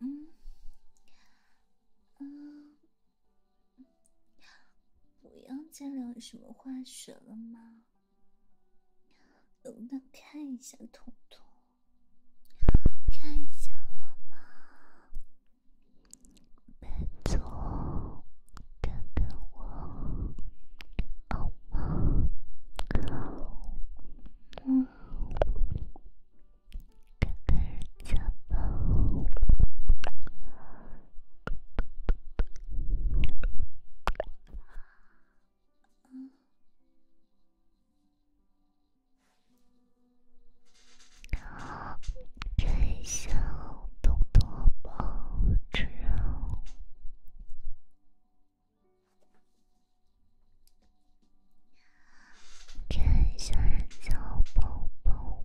嗯嗯，不要再聊什么化学了吗？能不能看一下彤彤？看一下我吗？来坐，看看我好吗？嗯，看看小宝。看小彤彤包子，看三角宝宝。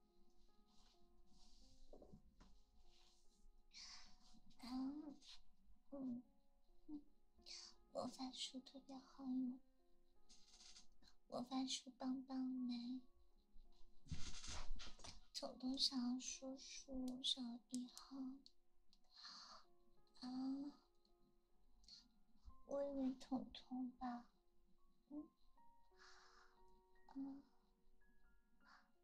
嗯嗯魔法书特别好用，魔法书棒棒来。走彤小叔叔小一号啊，我以为彤彤吧，嗯嗯。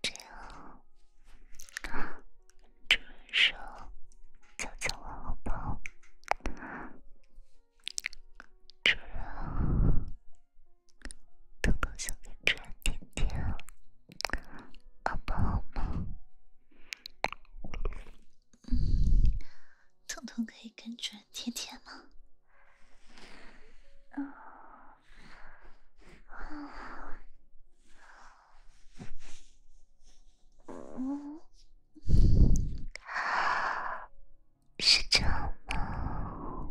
这样，主人说：“叫叫我，好不好？”主人啊，灯光想给主人点点，宝宝好吗？嗯，疼痛可以感觉。甜甜吗？嗯，是这样吗？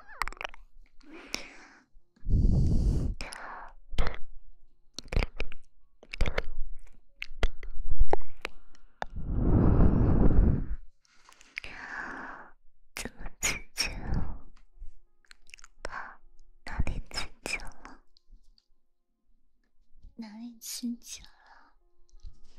怎么刺激了？哪里刺激了？哪里刺激了？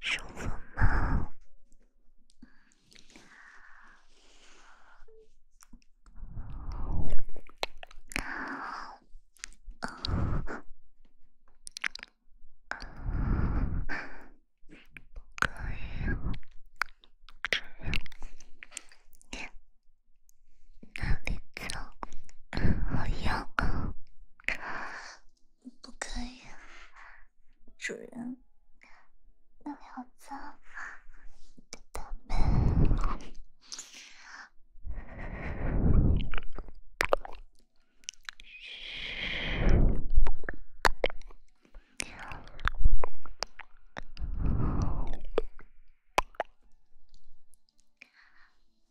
舒服吗？那别做，不可以，主人，那里好脏，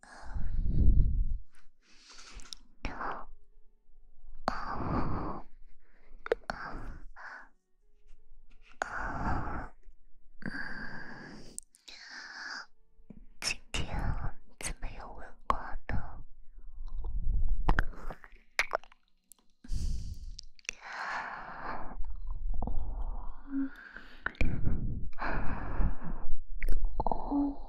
啊！啊！啊！啊！今天怎么有蚊子？哦。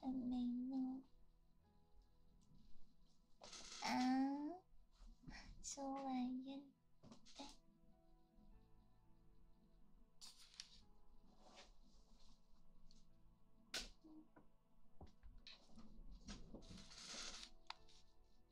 还没啊，出来呀！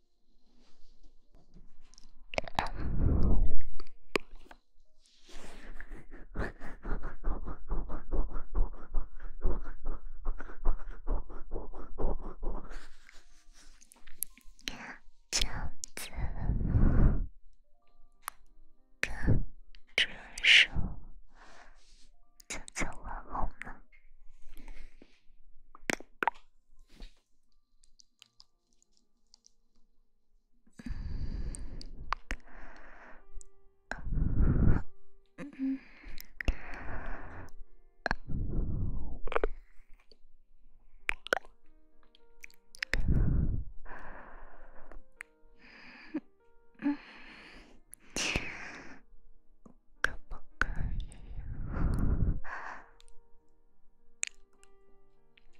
怎么跟这首《悄悄话》红呢？可不可以？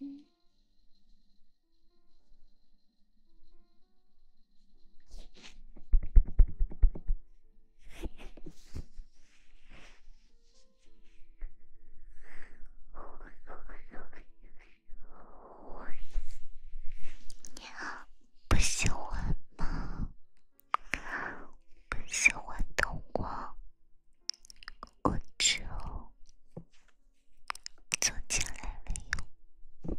嗯，我不喜欢吗？不喜欢灯光。我之后坐进来了哟。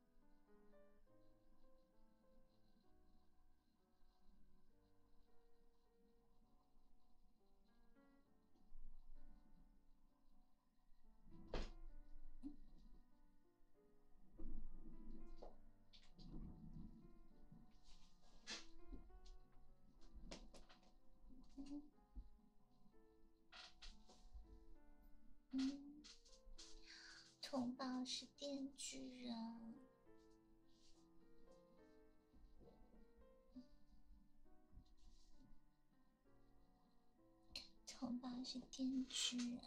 嗯，重 宝是。电锯人，头发是电锯人。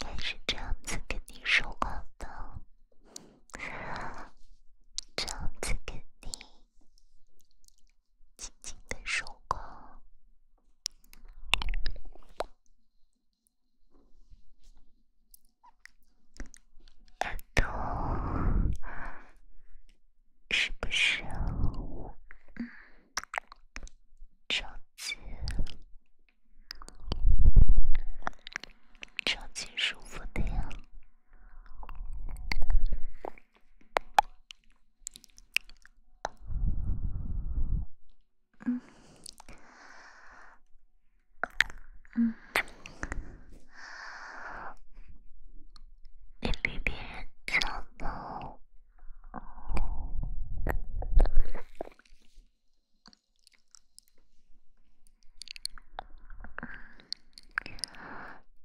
开始这样子跟你说话的，这样子跟你。轻轻的手感，耳朵是不是超级超级舒服的呀？嗯嗯，你比别人早到。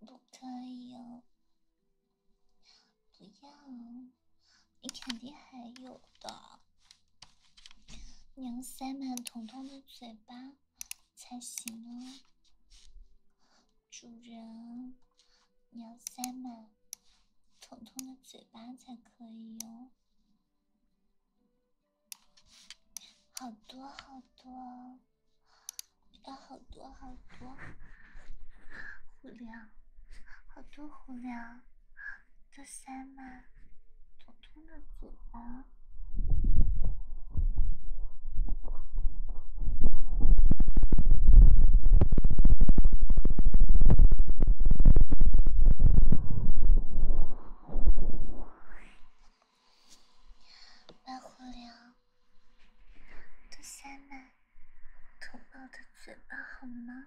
不可以啊！不要你肯定还有的。你要塞满彤彤的嘴巴才行哦，主人，你要塞满彤彤的嘴巴才可以哦。好多好多，要好多好多胡粮，好多胡粮。啊，杜三奶，吐喷的嘴巴。白狐狸，杜三奶，吐爆的嘴巴，好吗？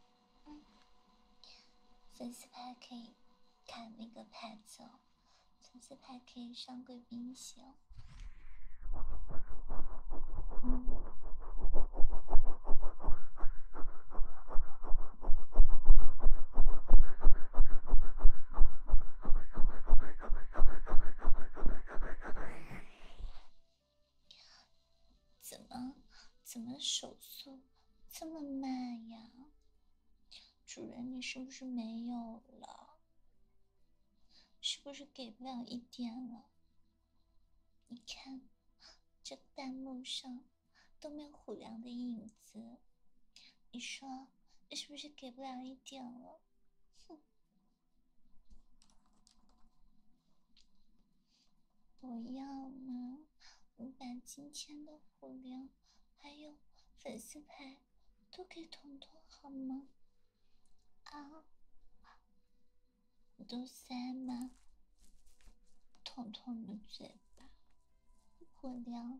粉丝牌可以看那个牌子哦，粉丝牌可以上贵宾席。哦。怎么，怎么手速这么慢呀？主人，你是不是没有了？是不是给不了一点了？你看这弹幕上都没有虎粮的影子，你说是不是给不了一点了？哼！我要吗？我把今天的火粮还有粉丝牌都给彤彤好吗？啊，都塞满彤彤的嘴巴，火粮。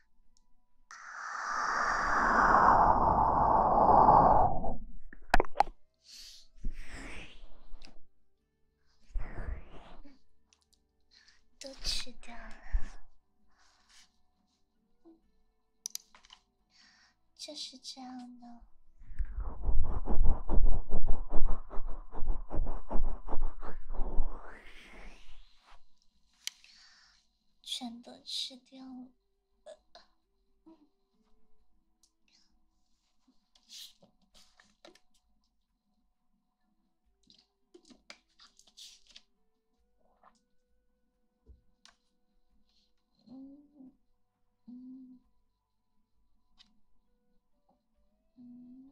都吃掉了，就是这样的。全都吃掉了。嗯，嗯，嗯。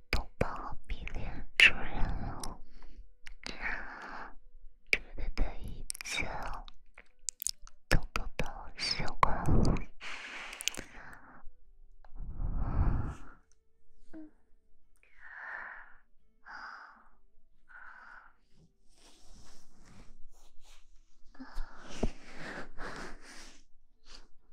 豆包迷恋主人了，觉的一切，都豆豆习惯了。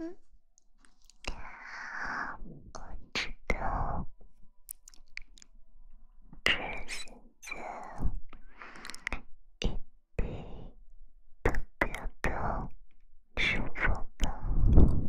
嗯嗯，我知道，这是一件一滴特别的幸福的。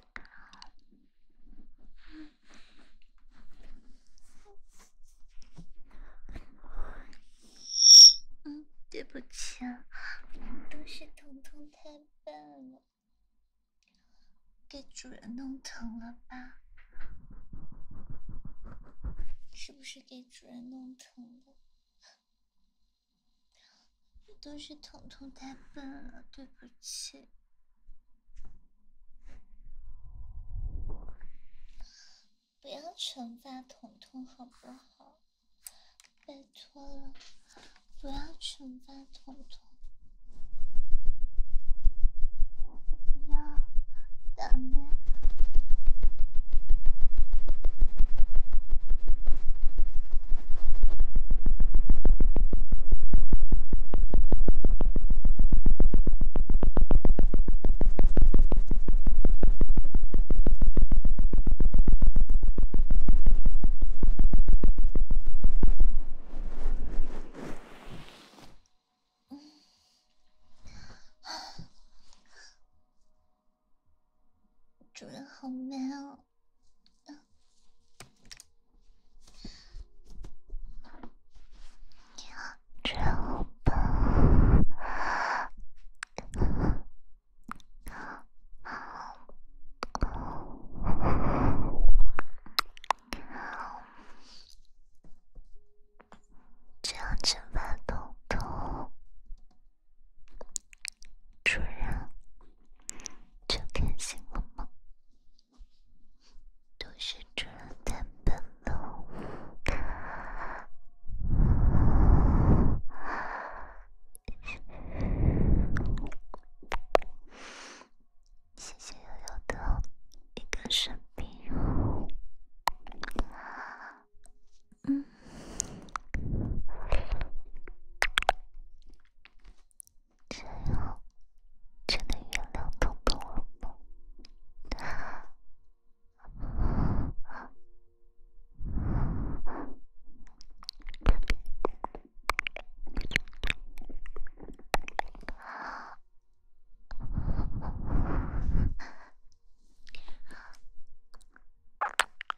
嗯，对不起，啊，都是彤彤太笨了，给主人弄疼了吧？是不是给主人弄疼了？都是彤彤太笨了，对不起，不要惩罚彤彤好不好？拜托了，不要惩罚彤彤，不要，打贝。主人好美哦这样吧，这样吃饭都痛。主人，就开心了吗？都是主人太笨了，谢谢悠悠的一个生病。嗯。这样真的原谅豆豆了吗？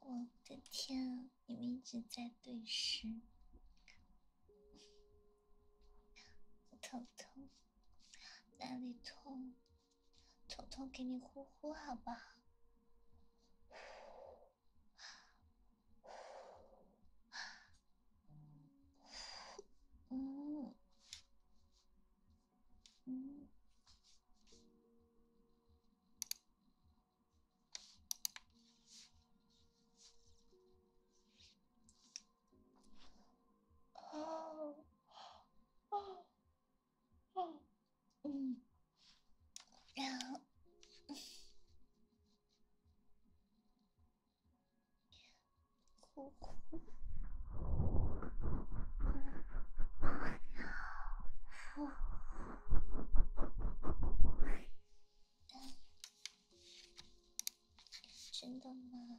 我的天，你们一直在对视，我头疼，哪里痛？头痛，给你呼呼好不好？嗯嗯嗯啊啊啊嗯，然后。哥哥，不要！真的吗？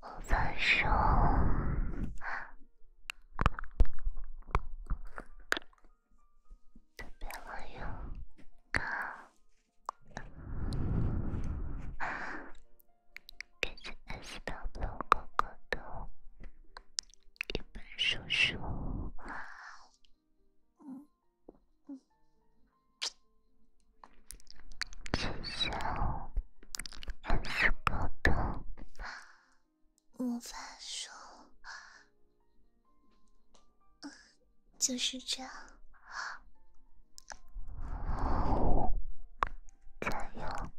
我在说特别有感，感谢爱小布哥哥的一本书书。谢谢，还是沟通。我再说，嗯，就是这样。加油，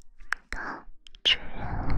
高主任。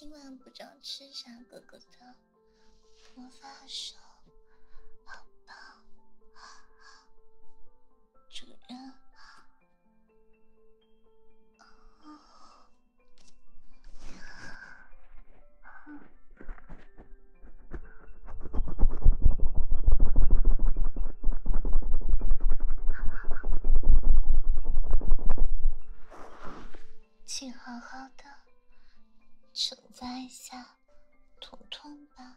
今晚不知道吃啥，哥哥的。我放手，好吧，主人，请好好的。承载下痛痛吧。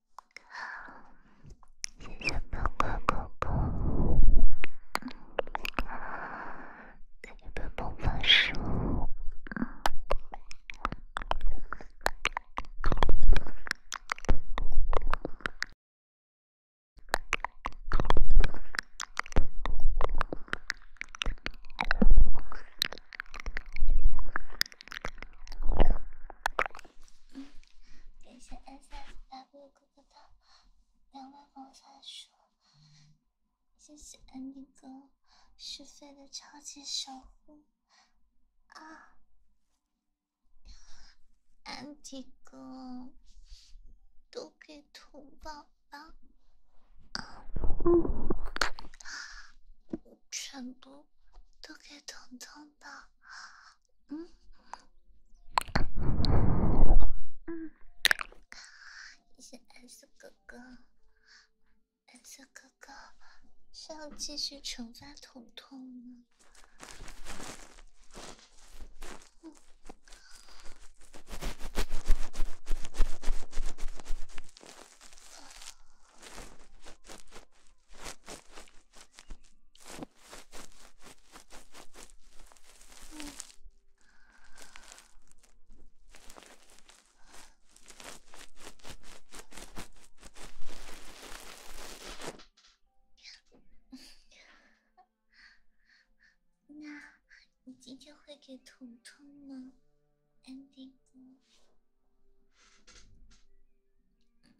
好，谢谢笨笨狗狗，谢谢笨笨老师。感谢 S S W 哥哥的两万粉丝，谢谢 a n 哥，是飞的超级守护啊安迪哥，都给童宝宝，嗯，全都都给彤彤吧。嗯，嗯，谢是蓝哥哥，s 哥哥是要继续惩罚彤彤吗？那，你今天会给彤彤吗，安迪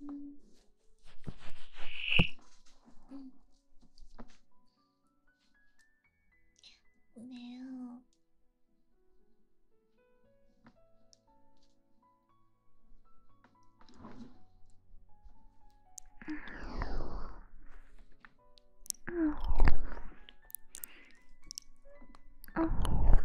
嗯，嗯，没有，嗯，嗯，嗯。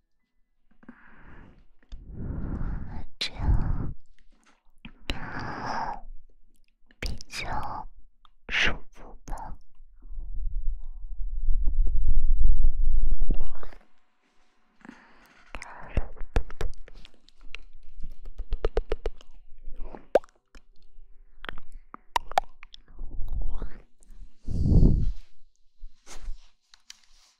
这样比较舒服吧。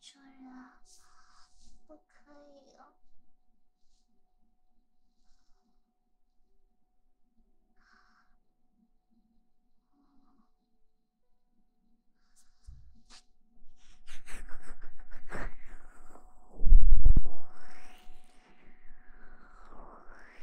主人，不可以。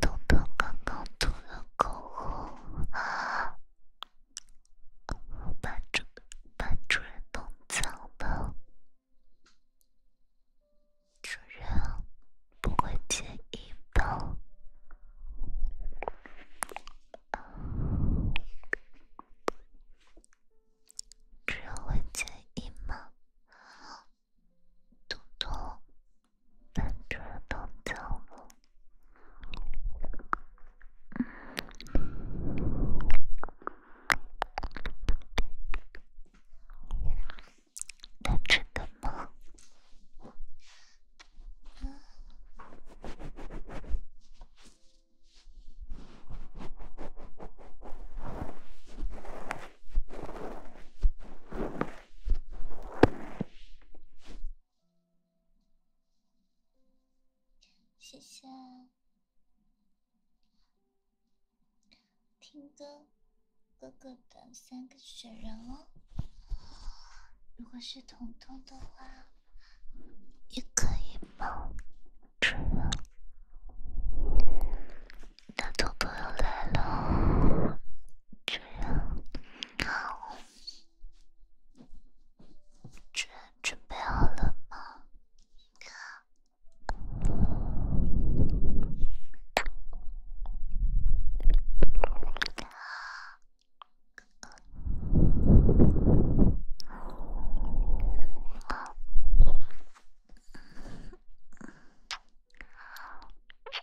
豆豆刚刚吐了口红，把主把主人弄脏了。主人不会介意吗？主人会介意吗？嘟嘟，能吃的吗？能吃的吗？谢谢听歌哥哥的三个雪人哦，如果是彤彤的话，也可以吗？大男朋友来了，这样好，准准备好了吗？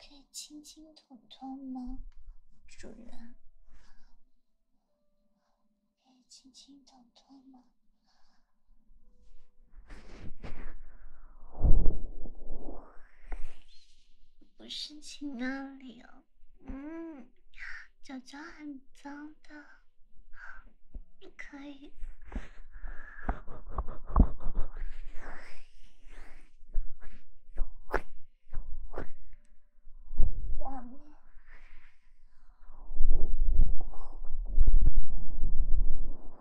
可以轻轻捅捅吗，主人？可以轻轻捅捅吗？我是秦里哦，嗯，脚脚很脏的，可以。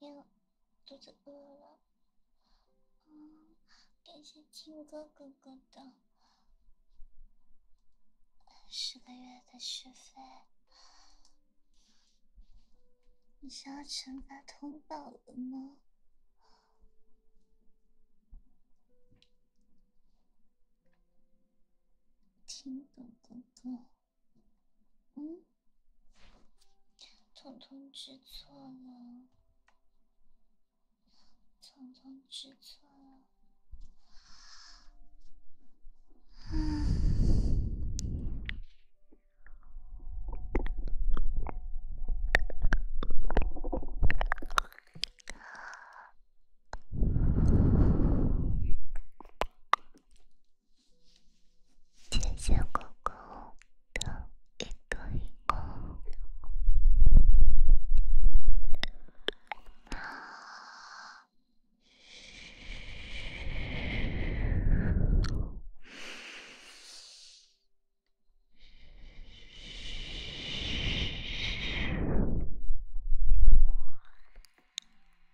呀，肚子饿了。嗯，感谢听歌哥哥的十个月的学费。你是要惩罚通宝了吗？听懂哥哥。嗯，彤彤知错了，彤彤知错了，小小狗狗，一个一个。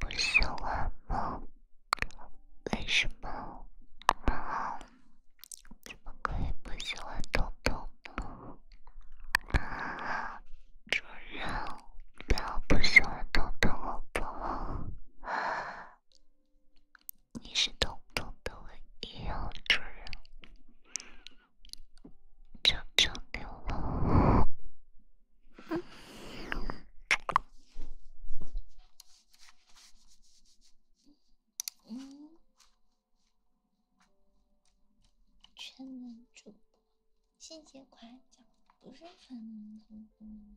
不喜欢吗？为什么？啊？怎么可以不喜欢彤彤呢？主人，不要不喜欢彤彤好不好？你是彤彤的唯一主人，就交给我全能主播，谢谢夸奖，不是粉丝。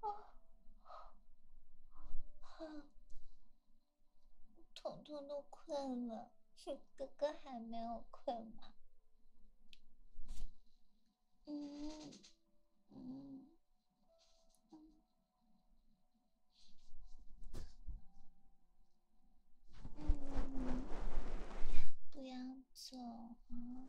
啊，疼疼的快了。哥哥还没有困吗？嗯嗯嗯，不要走啊。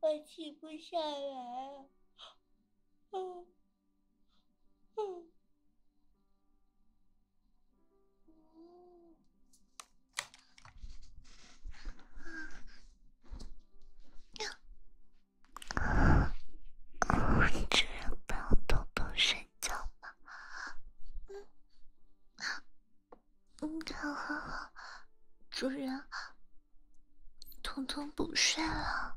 我起不下来，嗯，主人，抱彤彤睡觉吗？嗯，嗯，好，主人，彤彤不睡了。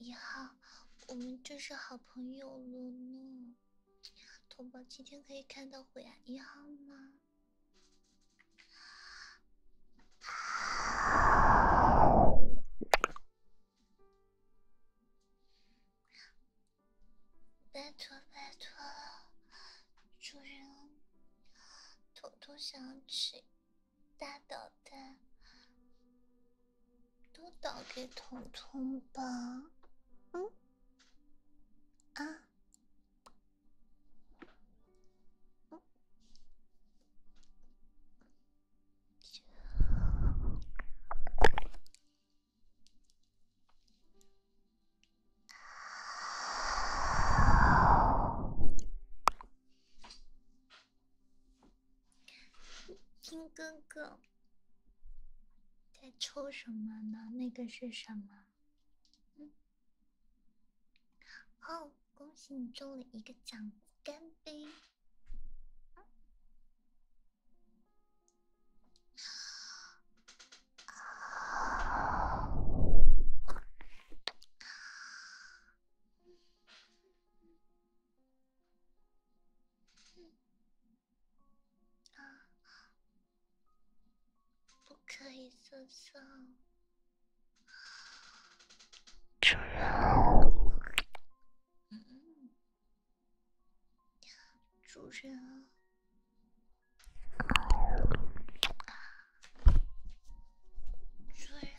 以后。我们就是好朋友了呢。同胞今天可以看到虎牙一号吗？拜托拜托，主人，彤彤想吃大导弹，都打给彤彤吧。嗯，啊。听哥哥在抽什么呢？那个是什么？哦，恭喜你中了一个奖，干杯！不可以赠送，主人，嗯，主人，主人。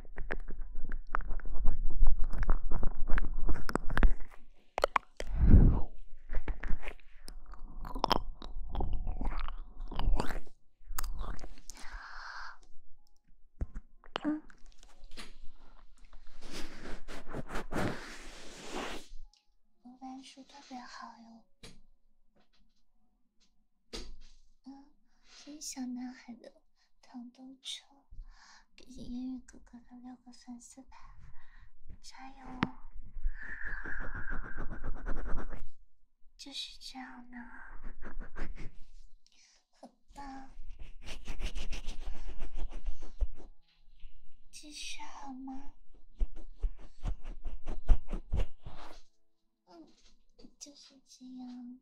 应该是特别好哟。嗯，挺小男孩的。糖都车，感谢烟雨哥哥的六个粉丝牌，加油哦！就是这样呢，很棒，继续好吗？嗯，就是这样。